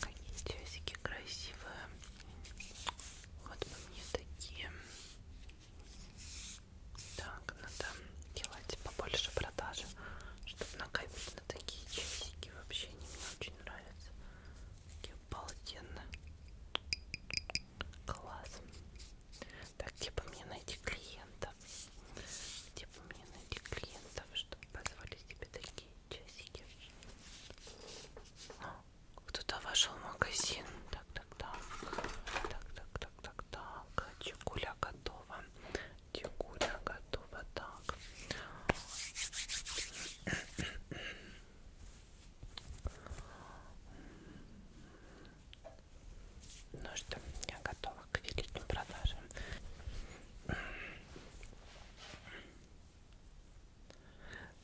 Какие часики красивые. Вот бы мне такие. Так, надо делать побольше продажи, чтобы накопить на такие часики. Вообще они мне очень нравятся. Такие обалденные. Класс. Так, где типа, бы мне найти клиентов? Где типа, бы мне найти клиентов, чтобы позвали себе такие часики? А, кто-то вошел в магазин. Так, так, так. Так, так, так, так, так. Чекуля готова. Чекуля готова. Так. Ну что, я готова к великим продажам.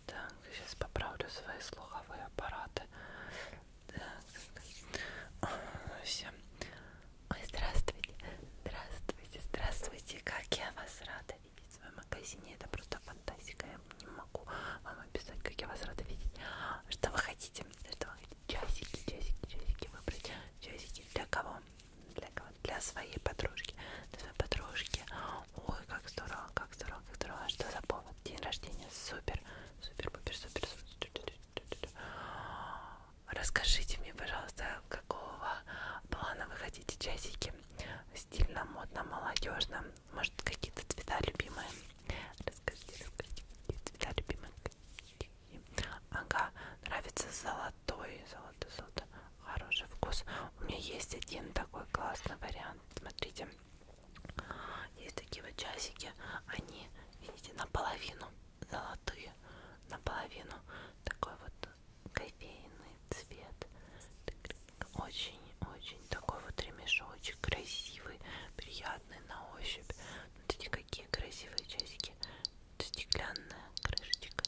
Так, сейчас поправлю свои слуховые аппараты. Так. Всем. Ой, здравствуйте, здравствуйте, здравствуйте, как я вас рада видеть в своем магазине. Это просто фантастика. Я не могу вам описать, как я вас рада видеть. Что вы хотите? Что вы хотите? Часики, часики, часики выбрать. Часики для кого? Для кого? Для своей подружки. Для своей подружки. Ой, как здорово, как здорово, как здорово. А что за повод? День рождения. Супер, супер, супер, супер, супер. Расскажите мне, пожалуйста, какого плана вы хотите часики? Стильно, модно, молодежно, может, какие-то цвета любимые? Расскажите, расскажите, какие цвета любимые? Ага, нравится золотой, золотой, золотой. Хороший вкус. У меня есть один такой классный вариант. Смотрите, есть такие вот часики. Они, видите, наполовину золотые, наполовину такой вот кофейный цвет. Так, очень-очень такой вот ремешочек, красивый, приятный на ощупь. Вот эти какие красивые часики. Стеклянная крышечка.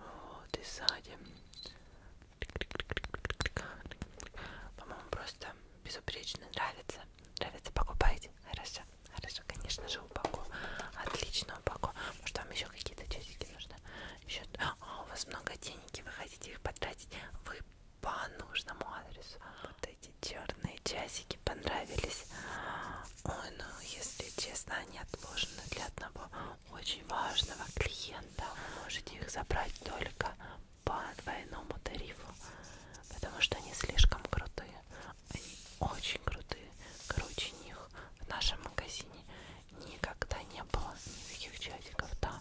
Вот и сзади. По-моему, просто безупречно нравится. Нравится, покупайте. Хорошо, хорошо, конечно же, упаковка. Отлично упаковка. Может, вам еще какие-то часики нужны? счет. А, у вас много денег, и вы хотите их потратить. Вы по нужному адресу. Вот эти черные часики понравились. Ой, ну, если честно, они отложены для одного очень важного клиента. Вы можете их забрать только по двойному тарифу, потому что они слишком крутые. Они очень крутые, круче них в нашем магазине никогда не было таких чатиков, да.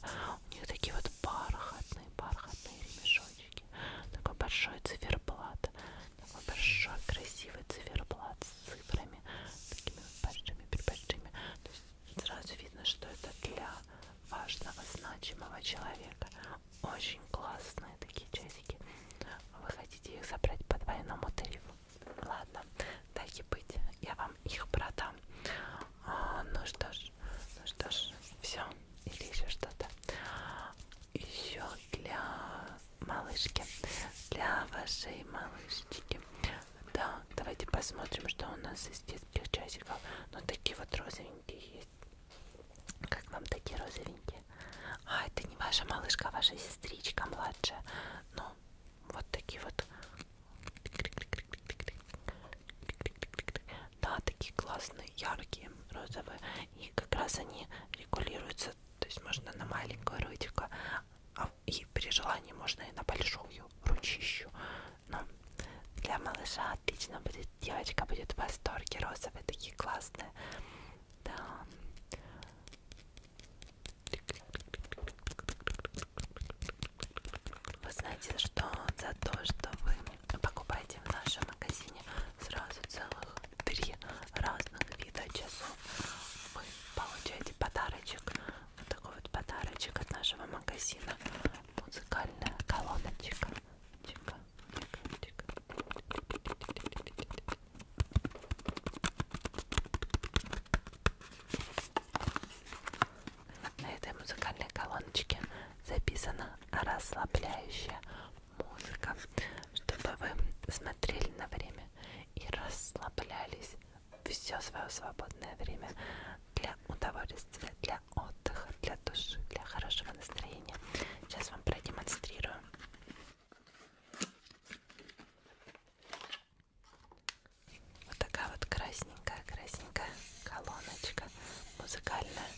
У них такие вот бархатные, бархатные ремешочки. Такой большой циферблат. Такой большой, красивый циферблат с цифрами. Такими вот большими, большими. То есть сразу видно, что это для важного, значимого человека. Очень классные такие часики. Вы хотите их забрать по двойному тарифу? Ладно, дайте быть, я вам их продам. А, ну что ж, ну что ж, все, или еще что-то. Еще для малышки, для вашей малышечки. Да, давайте посмотрим, что у нас из детских часиков. Ну такие вот розовенькие есть. Как вам такие розовенькие? А, это не ваша малышка, а ваша сестричка младшая. Ну, вот такие вот да, такие классные, яркие, розовые и как раз они регулируются то есть можно на маленькую ротику а и при желании можно и на большую ручищу но для малыша отлично будет, девочка будет в восторге розовые такие классные да вы знаете, что за то, что вы покупаете в нашем магазине сразу целых три разных вида часов, вы получаете подарочек, вот такой вот подарочек от нашего магазина, музыкальная колоночка. Тихо, тихо, тихо. На этой музыкальной колоночке записана расслабляющая музыка, чтобы вы смотрели на время и расслаблялись все свое свободное время для удовольствия, для отдыха, для души, для хорошего настроения. Сейчас вам продемонстрирую вот такая вот красненькая, красненькая колоночка музыкальная.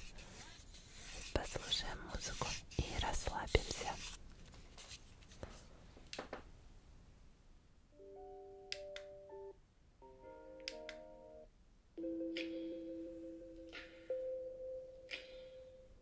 Послушаем музыку и расслабимся.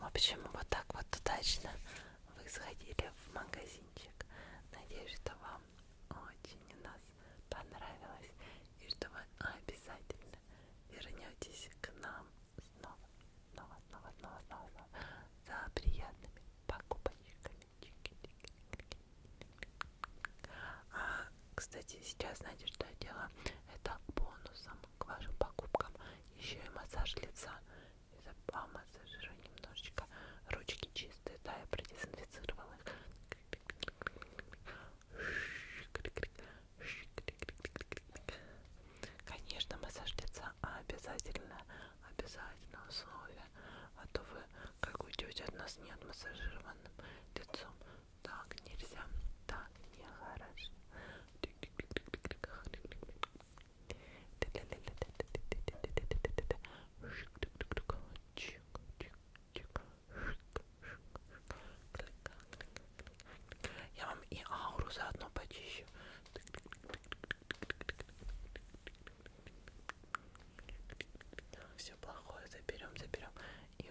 В общем, вот так вот удачно вы сходили в магазинчик. Надеюсь, что вам очень у нас понравилось и что вы обязательно вернетесь к нам снова, снова, снова, снова, снова, снова за приятными покупочками. А кстати, сейчас, знаете, что я делаю? Это бонусом к вашим покупкам. Еще и массаж лица. Я помассажирую немножечко. Ручки чистые, да, я продезинфицировала их. Конечно, массаж лица обязательно, обязательно условие. А то вы как уйдете от нас не отмассажированным лицом так нельзя, так нехорошо. Я вам и ауру заодно почищу. Все плохое заберем, заберем. И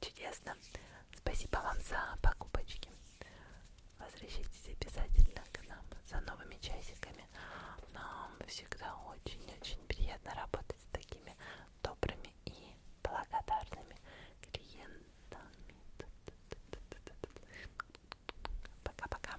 Чудесно. Спасибо вам за покупочки. Возвращайтесь обязательно к нам за новыми часиками. Нам всегда очень-очень приятно работать с такими добрыми и благодарными клиентами. Пока-пока.